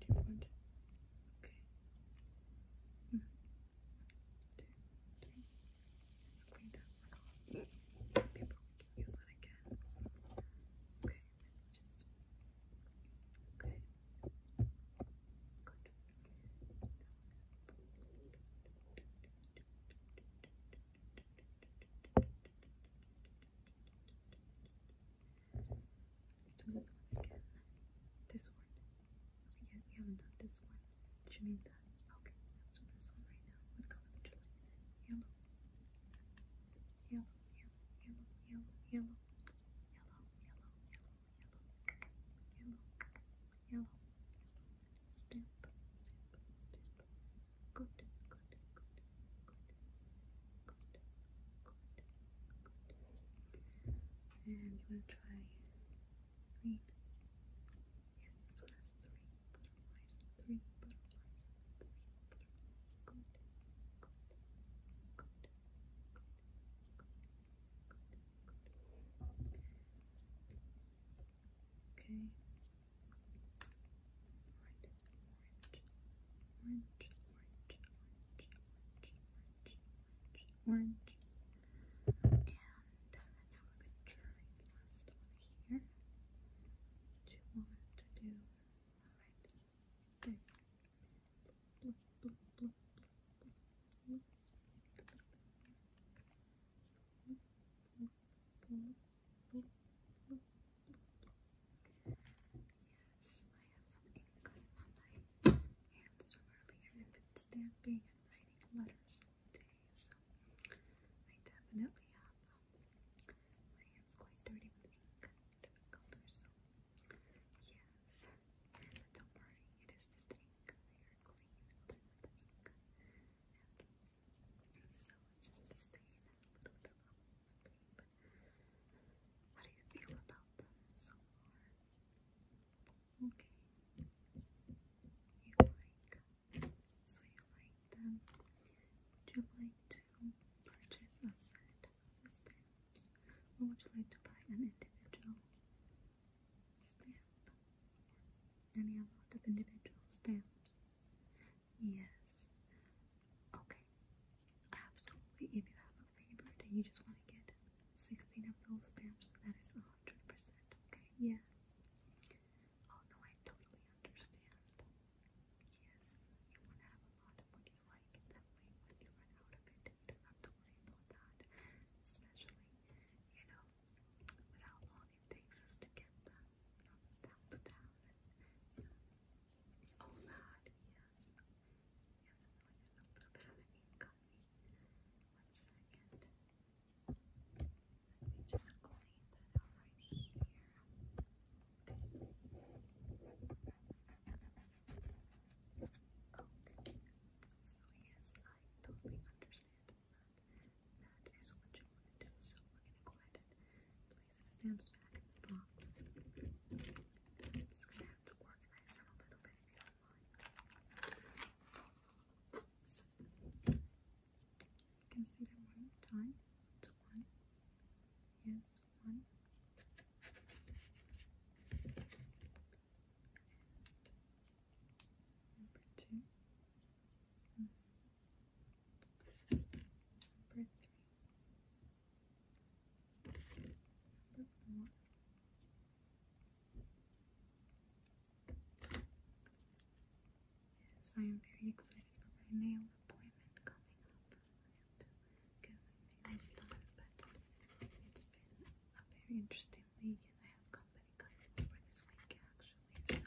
different. Okay. One, hmm. two, three. Let's clean that People can use it again. Okay, just Good. Let's do this one again. This one. we haven't done this one. Should done? Okay, let's do this one right now. What color would you like? Yellow. Yellow, yellow, yellow, yellow, yellow. Yellow, yellow, yellow, yellow, yellow, yellow. Step, Good, good, good, good, good, good, good. And you want to try green? Yes, this one has three butterflies, three butterflies, Okay. Alright orange, orange, orange, orange, orange. And uh, now we're going to try the last one here. What you Alright, Yes, I have some ink on my hands from earlier. stamping and writing letters all so I definitely have my hands quite dirty with ink, colors. yes, don't worry, it is just ink. They are clean, they're the ink, and so just a stain, a sleep. How do you feel about them so far? Okay. You like so you like them. Would you like to purchase a set of stamps? Or would you like to buy an individual stamp? any amount of individual stamps? Yes. Okay. Absolutely. If you have a favorite and you just want to get 16 of those stamps, that is 100%. Okay. Yes. Oh no, I totally understand. Yes. You want to have a lot of what you like. That way, when you run out of it, you don't have to worry about that. Especially, you know, without long it takes us to get them from town and oh, all that, yes. Yes, One second. Let me just clean that out right here. Okay. Okay. So yes, I totally understand that is what you want to do. So we're going to go ahead and place the stamps back in the box. I'm just going to have to organize them a little bit you can see them one time. It's one. Yes, one. And two. Mm-hmm. Number I am very excited for my nail appointment coming up. I it's been a very interesting week and I have company coming over this week actually,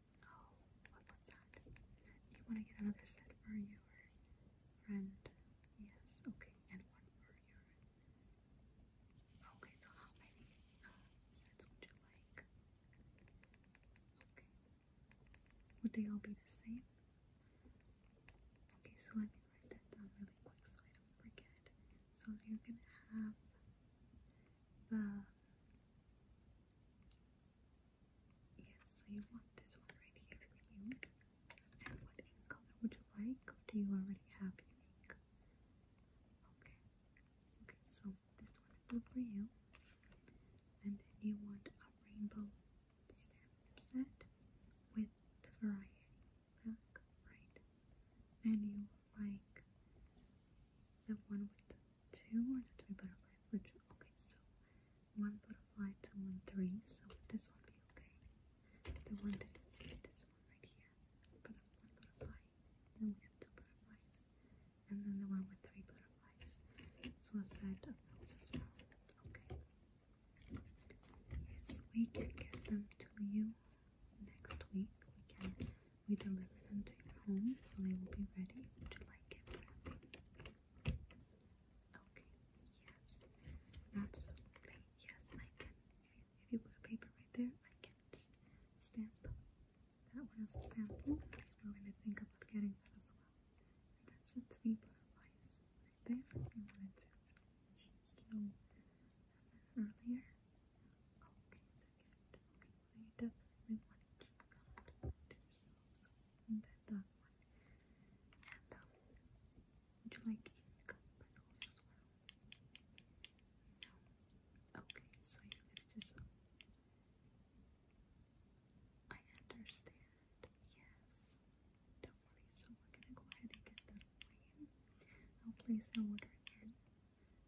Oh, what was that? You want to get another set for your friend? Yes, okay, and one for your. Okay, so how many uh, sets would you like? Okay. Would they all be the same? Okay, so let me write that down really quick so I don't forget. So you're gonna have uh, yes, so you want this one right here for you. And what color would you like? Or do you already have your Okay. Okay, so this one is good for you. And then you want a rainbow stamp set with variety right? And you like the one with two or not to butterfly which okay so one butterfly two, one, three. so this will be okay the one that is this one right here one butterfly then we have two butterflies and then the one with three butterflies so a set of those as well okay yes we can get them to you next week we can we deliver them to your home, so they will be ready. Would you like it wrapping? Okay, yes. Absolutely, yes, I can. If you put a paper right there, I can just stamp that one as a sample. If we're going to think about getting that as well. And that's the three butterflies right there if you wanted to. Just know earlier. Okay, second. Okay, definitely want to keep that to yourself. So embed that And um, would you like any cup pearls as well? No. Okay, so you're just. I understand. Yes. Don't worry. So we're gonna go ahead and get that I'll place an order in.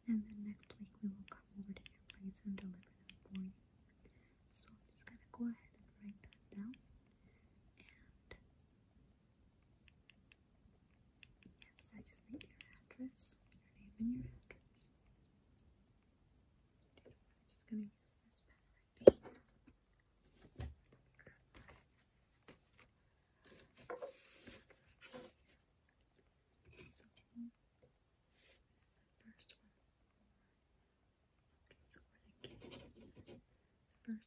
And then next week we will come over to your place and deliver them for you. So I'm just gonna go ahead and write that down. And yes, I just need your address, your name and your address. just gonna use this pen so first one. Okay, so for the kids, first one is Would you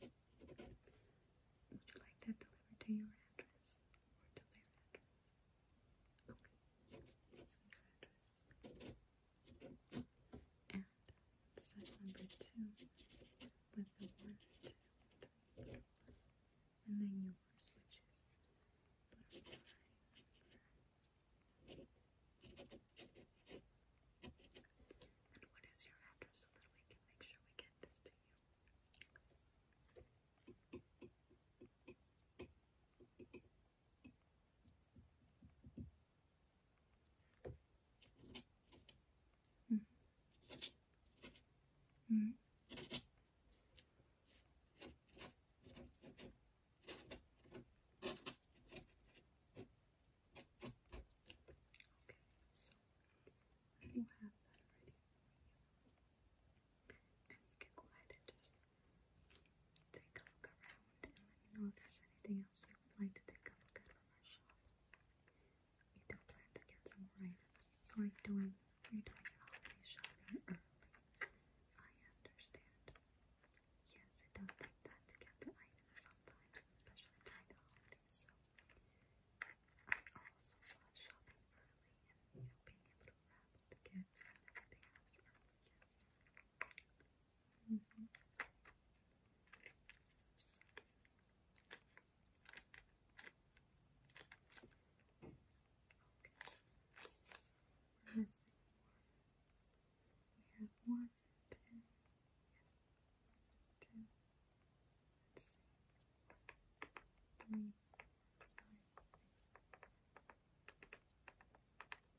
like that delivered to your address or to their Okay, so your address. And set number two with the one, and then yours, which is butterfly. And what is your address so that we can make sure we get this to you? Mm. Mm. Okay, so we have that ready you. And you can go ahead and just take a look around and let me know if there's anything else you would like to take a look at from our shop. We do plan to get some more items, so I'm doing, you're doing your holiday early. I understand. Yes, it does take time to get the items sometimes, especially during holidays, I also love shopping early and, you know, being able to wrap the gifts and everything else early, yes. Mm -hmm. so. Okay. So we have one, two, yes, two, let's see, three, five, six,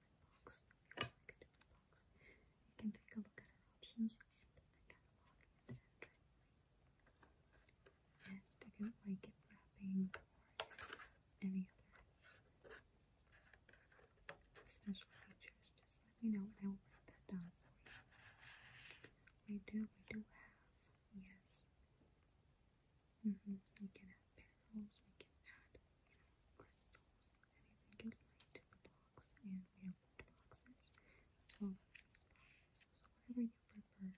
You can take a look at options and the catalog like it wrapping or any other special features. Just let me know I will write that down for you. We do, we do have, yes. Mm -hmm. We can add pearls, we can add, crystals, anything you'd the box. And we have wood boxes, as So whatever you prefer,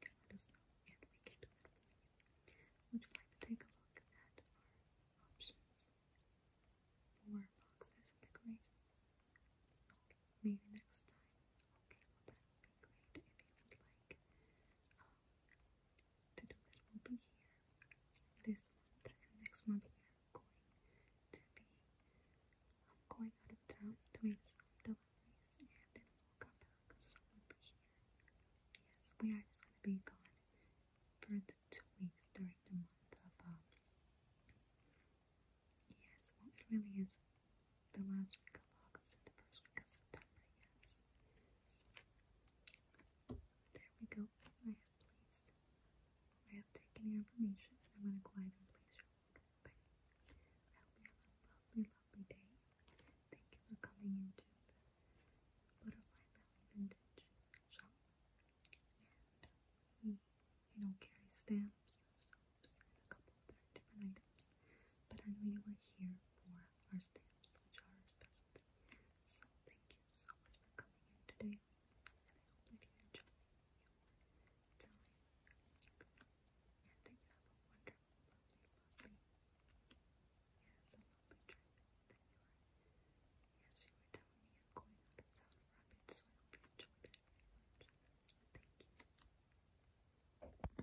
you can let us know and we can do that for you. Would you like to take a look at our options for boxes and decoration? maybe next time. Okay, well that would if you would like. Uh, to do that will be here this month and next month we are going to be going out of town doing some deliveries and then we'll come back so we'll be here. Yes, we are just gonna be gone for the two weeks during the month of um, Yes, well it really is the last week of August the first week of September, yes. There we go. I have placed. I have taken your information. I'm gonna go ahead and place your order. Okay. I hope you have a lovely, lovely day. Thank you for coming into the Butterfly Valley Vintage Shop. And we, you know, carry stamps, soaps, and a couple of different items. But I know you were here for are stamps, are our So thank you so much for coming here today, and I hope that you enjoy your time, and that you have a wonderful, lovely, lovely, trip yes, you were telling me you're going out of town rapid, so I enjoyed it very much. Thank you.